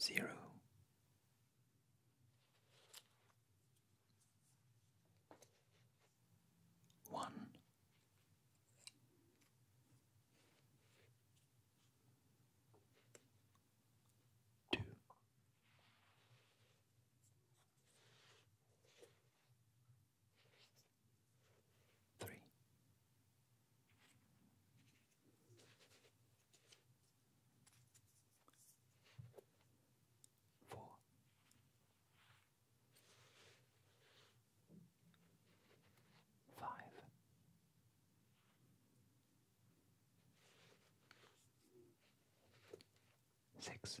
Zero. One. Two three. Four, five, six,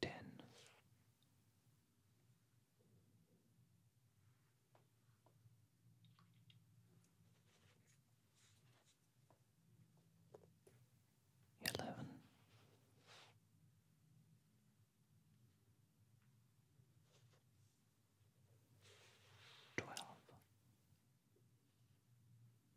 ten. Eleven, twelve,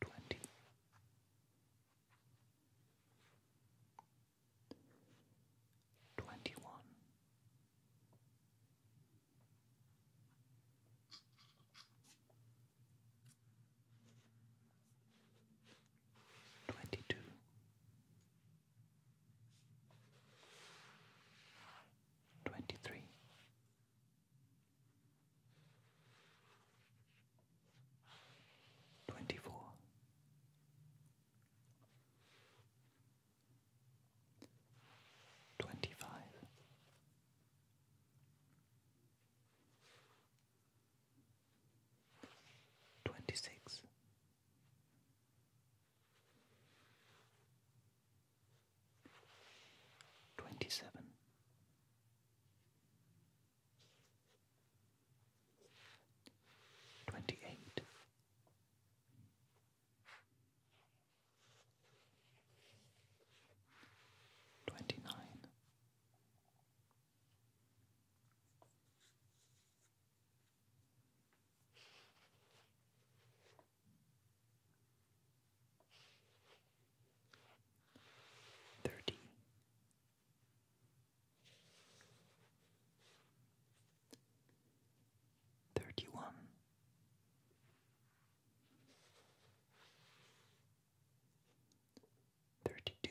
twenty, twenty one, twenty two. Twenty three, Twenty four, twenty five, twenty six twenty seven, twenty eight, twenty nine thirty, thirty one, thirty two.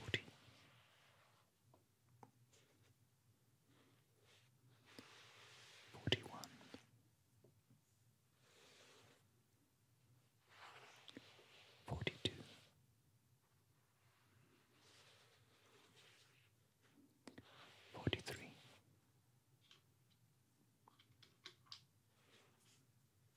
forty, forty-one, forty-two. 43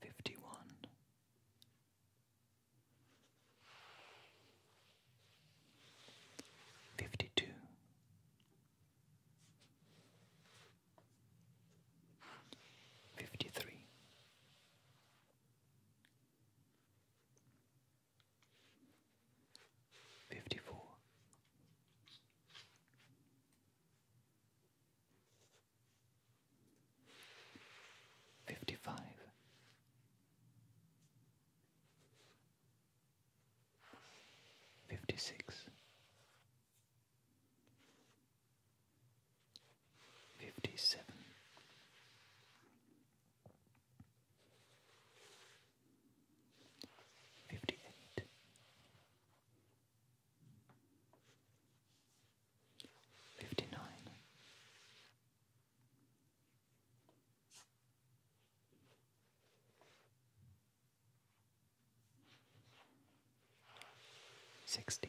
Fifty one, fifty two, fifty three, fifty four. Fifty five, fifty six, fifty seven, fifty eight, fifty nine, sixty.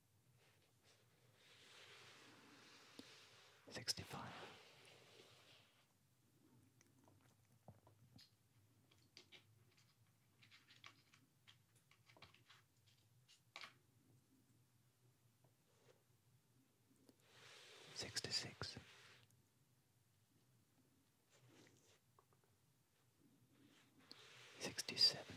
65. Sixty-six. Sixty-seven.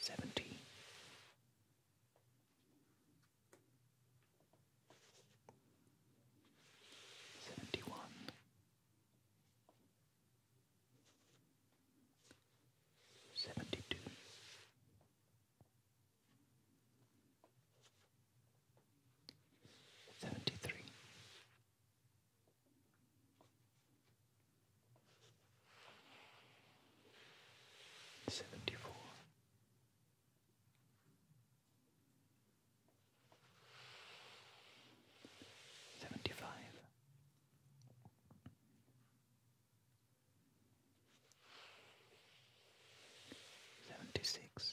seventy, seventy one, seventy two. Seventy three, Seventy four. Seventy five. Seventy six.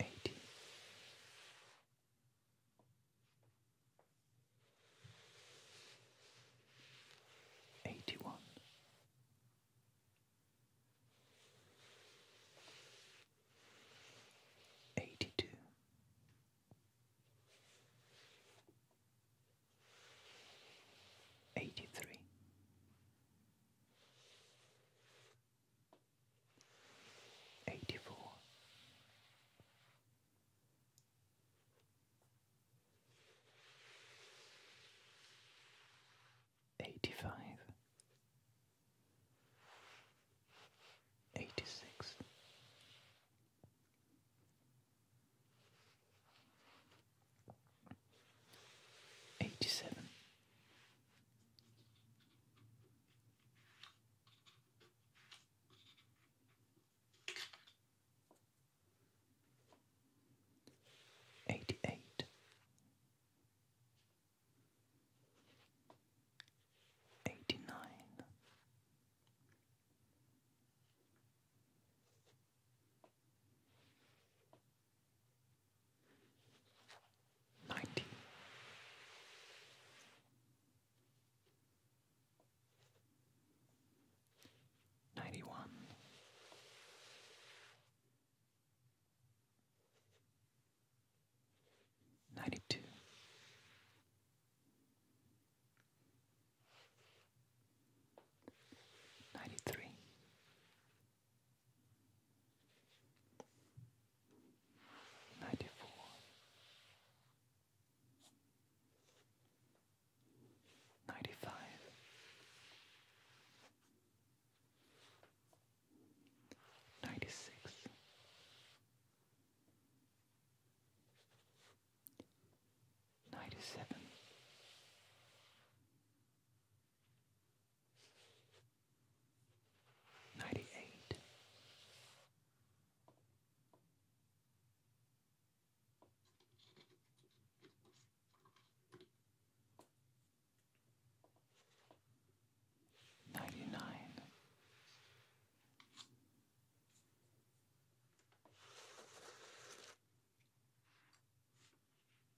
eighty eighty one eighty two Eighty three, Eighty-four, eighty-five, eighty-six. Eighty seven. Eighty eight. Ninety. Ninety one. Ninety two. Ninety three ninety four. Ninety five, ninety six, ninety seven, Ninety-eight. Ninety-nine.